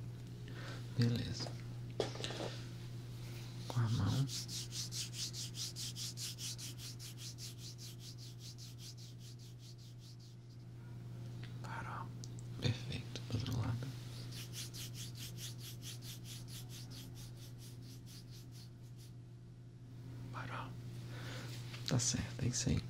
Beleza. Com a mão. Parou. Perfeito. Do outro lado. Parou. Tá certo, é isso aí.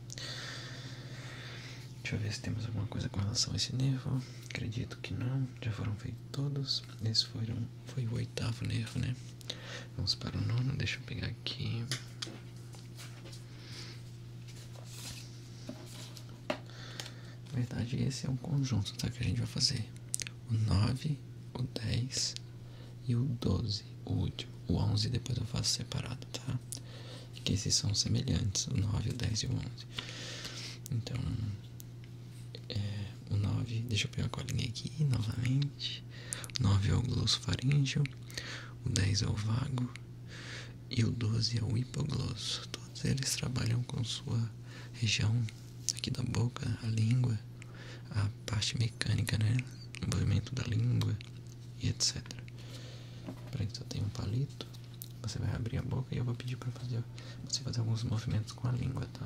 Deixa eu ver se temos alguma coisa com relação a esse nervo. Acredito que não. Já foram feitos todos. Esse foi o oitavo nervo, né? Vamos para o nono. Deixa eu pegar aqui. Na verdade, esse é um conjunto tá? que a gente vai fazer. O 9, o 10 e o 12, o último. O 11 depois eu faço separado, tá? Tá? que esses são semelhantes, o 9, o 10 e o 11. Então, é, o 9, deixa eu pegar a colinha aqui novamente. O 9 é o glossofaríngeo, o 10 é o vago e o 12 é o hipoglosso. Todos eles trabalham com sua região aqui da boca, a língua, a parte mecânica, né? O movimento da língua, e etc. Para isso eu tenho um palito, você vai abrir a boca e eu vou pedir para fazer você fazer alguns movimentos com a língua, tá?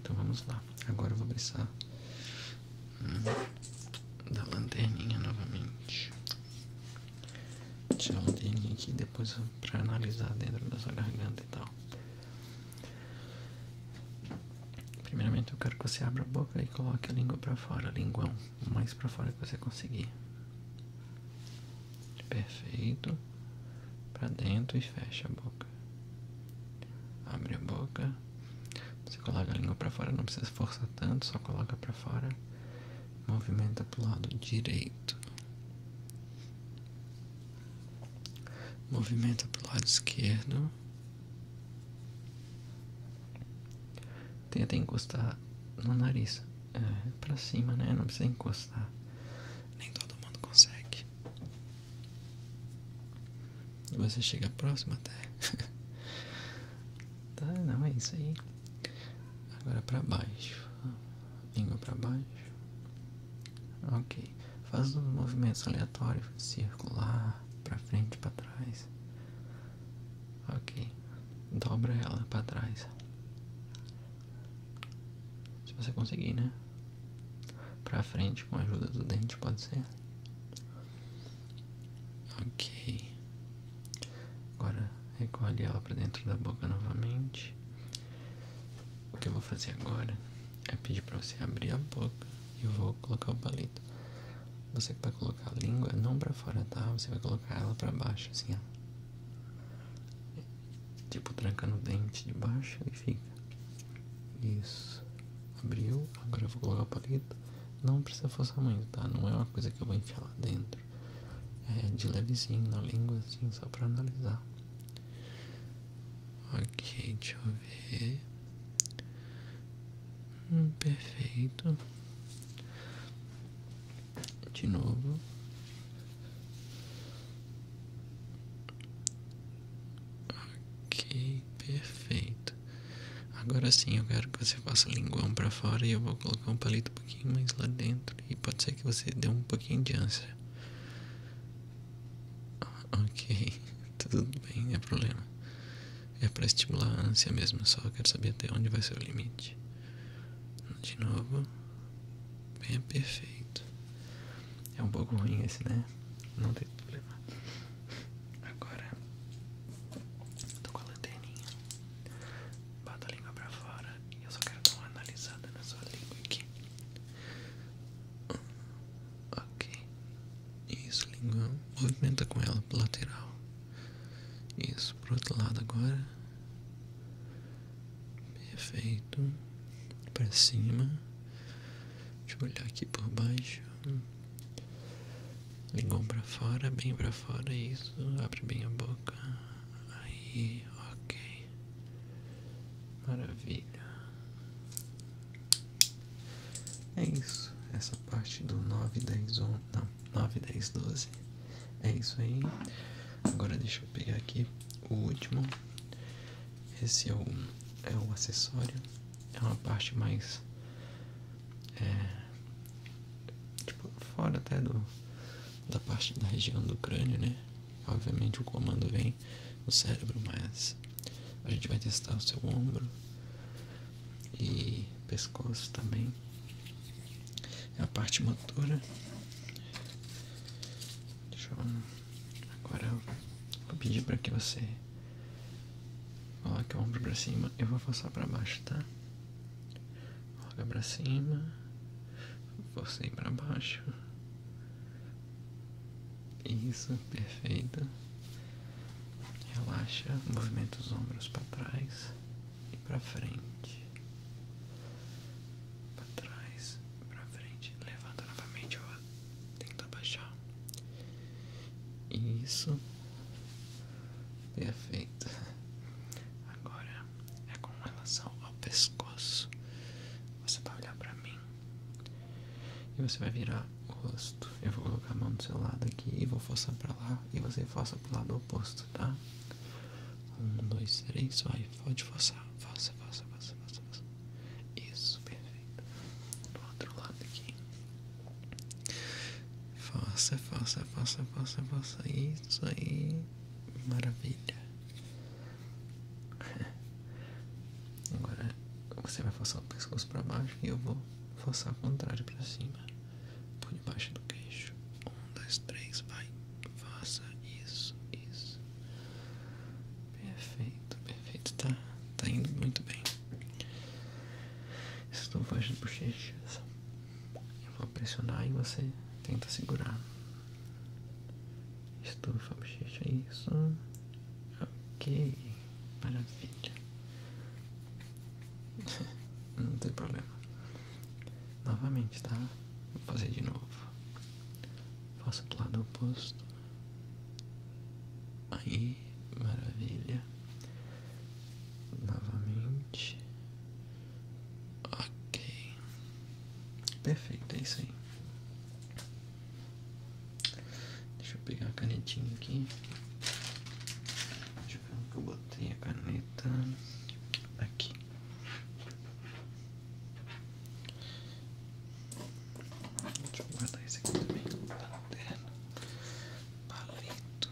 Então vamos lá. Agora eu vou precisar hum, da lanterninha novamente. Tirar a lanterninha aqui depois para analisar dentro da sua garganta e tal. Primeiramente eu quero que você abra a boca e coloque a língua para fora, linguão mais para fora que você conseguir. Perfeito. Para dentro e fecha a boca. Abre a boca. Você coloca a língua para fora, não precisa forçar tanto, só coloca para fora. Movimenta pro lado direito. Movimenta pro lado esquerdo. Tenta encostar no nariz. É, pra cima, né? Não precisa encostar. Nem todo mundo consegue. Você chega próximo até. <laughs> tá, não, é isso aí. Agora pra baixo. Língua pra baixo. Ok. Faz os movimentos aleatórios, circular, pra frente, pra trás. Ok, dobra ela para trás. Se você conseguir, né? Para frente com a ajuda do dente, pode ser. Ok. Agora recolhe ela para dentro da boca novamente. O que eu vou fazer agora é pedir para você abrir a boca e vou colocar o palito você vai tá colocar a língua não para fora, tá? Você vai colocar ela para baixo, assim, ó. Tipo, tranca no dente de baixo e fica. Isso. Abriu. Agora eu vou colocar a palito. Não precisa forçar muito, tá? Não é uma coisa que eu vou enfiar lá dentro. É de levezinho na língua, assim, só pra analisar. Ok, deixa eu ver. Hum, perfeito. De novo. Ok, perfeito. Agora sim, eu quero que você faça o linguão para fora e eu vou colocar um palito um pouquinho mais lá dentro. E pode ser que você dê um pouquinho de ânsia. Ok, <laughs> tudo bem, é problema. É para estimular a ânsia mesmo, só quero saber até onde vai ser o limite. De novo, bem é perfeito. É um pouco ruim esse, né? Não tem problema. Agora, tô com a lanterninha. Bota a língua pra fora e eu só quero dar uma analisada na sua língua aqui. Ok. Isso, língua. Movimenta com ela lateral. Isso isso pro outro lado agora. Perfeito. Para cima. Deixa eu olhar aqui por baixo. Ligou para fora, bem para fora, isso. Abre bem a boca. Aí, ok. Maravilha. É isso. Essa parte do 9, 10, 11. Não, 9, 10, 12. É isso aí. Agora deixa eu pegar aqui o último. Esse é o, é o acessório. É uma parte mais. É, tipo, fora até do, da parte da região do crânio, né? Obviamente o comando vem no cérebro, mas a gente vai testar o seu ombro, e pescoço também. É a parte motora. Agora vou pedir para que você coloque o ombro para cima. Eu vou forçar para baixo, tá? Coloca para cima. Forcei para baixo. Isso, perfeito. Relaxa, movimenta os ombros para trás e para frente, para trás, para frente, levanta novamente, ó, tenta baixar. Isso. Perfeito. Agora é com relação ao pescoço. Você vai olhar para mim e você vai virar o rosto. Eu vou colocar a mão do seu lado aqui e vou forçar para lá e você força para o lado oposto tá? Um, dois, três, vai, pode forçar, força, força, força, força, Isso, perfeito. Do outro lado aqui. Força, força, força, força, força. Isso aí. Maravilha. <laughs> Agora você vai forçar o pescoço para baixo e eu vou forçar o contrário para cima por debaixo do queixo. Um, dois, três, vai. Faça isso, isso. Perfeito, perfeito. Tá, tá indo muito bem. Estou fazendo bochechas. Eu vou pressionar e você tenta segurar. Estufa a bochecha, isso. Ok, maravilha. <laughs> Não tem problema. Novamente, tá? Vou fazer de novo. Faço do lado oposto. Aí, maravilha. Novamente. Ok. Perfeito, é isso aí. Deixa eu pegar a canetinha aqui. Deixa eu eu botei a caneta. Aqui. Deixa eu guardar esse aqui também. Lanterna. Palito.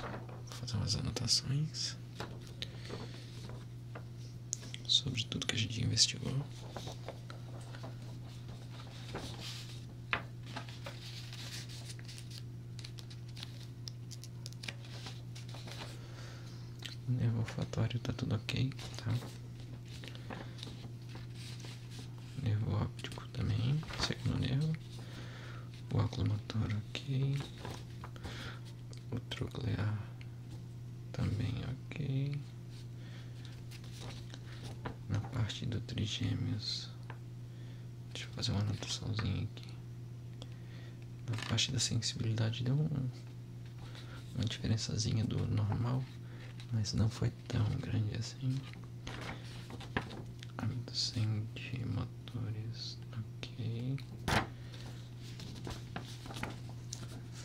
Vou fazer umas anotações sobre tudo que a gente investigou. O nervo olfatório tá tudo ok, tá? O nervo óptico também, segundo nervo. O oculomotor ok o troclear também ok na parte do trigêmeos deixa eu fazer uma anotaçãozinha aqui na parte da sensibilidade deu uma diferençazinha do normal mas não foi tão grande assim caminho de motores ok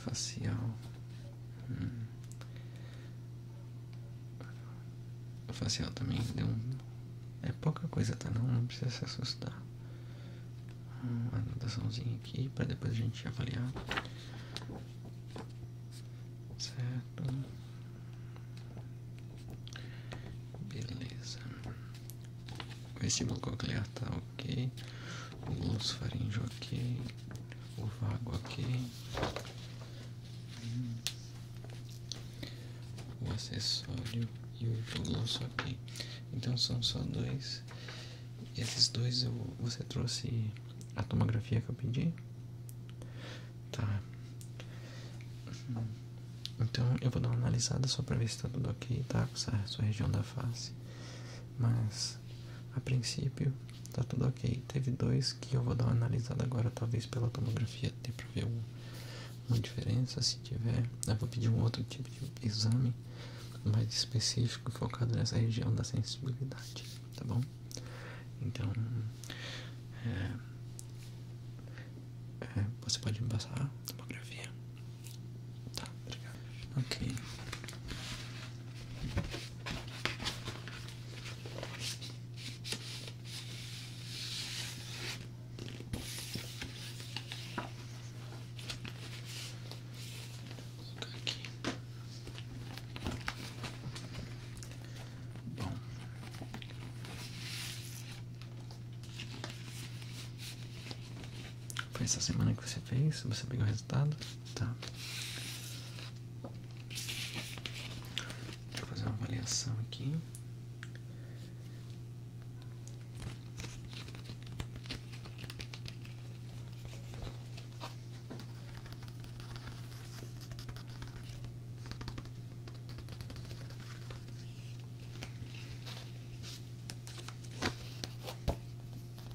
facial hum. facial também deu um é pouca coisa tá não não precisa se assustar uma anotaçãozinha aqui para depois a gente avaliar certo beleza vestíbulo coclear tá ok, o glúteo faríngeo ok, o vago ok, o acessório e o hipoglúcio ok. Então são só dois. Esses dois eu, você trouxe a tomografia que eu pedi? Tá. Então eu vou dar uma analisada só pra ver se tá tudo ok, tá? Com essa, sua região da face. Mas a princípio tá tudo ok. Teve dois que eu vou dar uma analisada agora, talvez pela tomografia dê pra ver uma diferença. Se tiver, eu vou pedir um outro tipo de exame mais específico, focado nessa região da sensibilidade, tá bom? Então, é, é você pode me passar a tomografia? Tá, obrigado. Ok. Aqui. Bom. Foi essa semana que você fez? Você pegou o resultado? Tá. Deixa eu fazer uma avaliação aqui.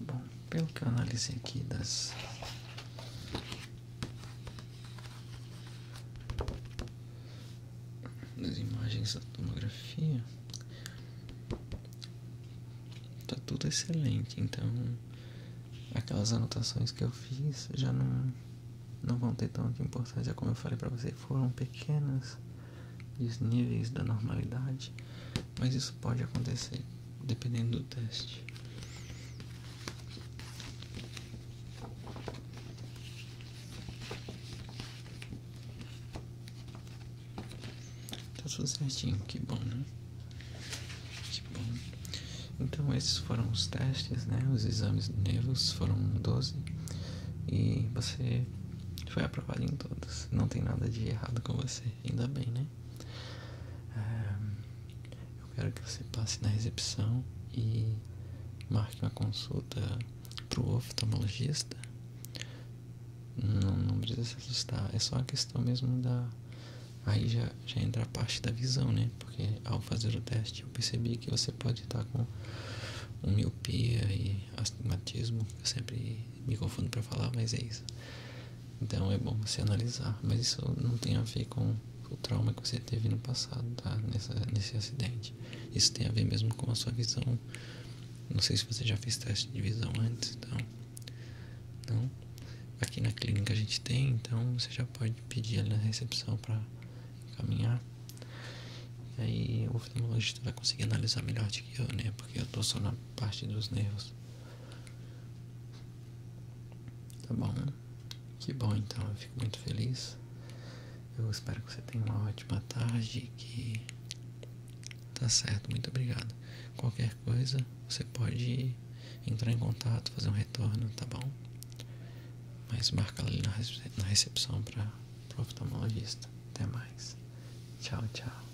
Bom, pelo que eu analisei aqui das das imagens da tomografia está tudo excelente então aquelas anotações que eu fiz já não não vão ter tanta importância como eu falei para você foram pequenas desníveis da normalidade mas isso pode acontecer dependendo do teste Tá tudo certinho, que bom, né? Que bom. Então, esses foram os testes, né? Os exames nervos foram 12 e você foi aprovado em todos. Não tem nada de errado com você, ainda bem, né? Ah, eu quero que você passe na recepção e marque uma consulta pro o oftalmologista não, precisa se assustar, é só a questão mesmo da. Aí já, já entra a parte da visão, né? Porque ao fazer o teste eu percebi que você pode estar com miopia e astigmatismo. Eu sempre me confundo para falar, mas é isso. Então é bom você analisar. Mas isso não tem a ver com o trauma que você teve no passado, tá? nesse acidente. Isso tem a ver mesmo com a sua visão. Não sei se você já fez teste de visão antes, então. Não. Aqui na clínica a gente tem, então você já pode pedir na recepção para encaminhar. aí o oftalmologista vai conseguir analisar melhor do que eu, né? Porque eu estou só na parte dos nervos. Tá bom. Que bom então, eu fico muito feliz. Eu espero que você tenha uma ótima tarde. Que tá certo, muito obrigado. Qualquer coisa, você pode entrar em contato, fazer um retorno, tá bom? Mas marca ali na recepção para o oftalmologista. Até mais. Tchau, tchau.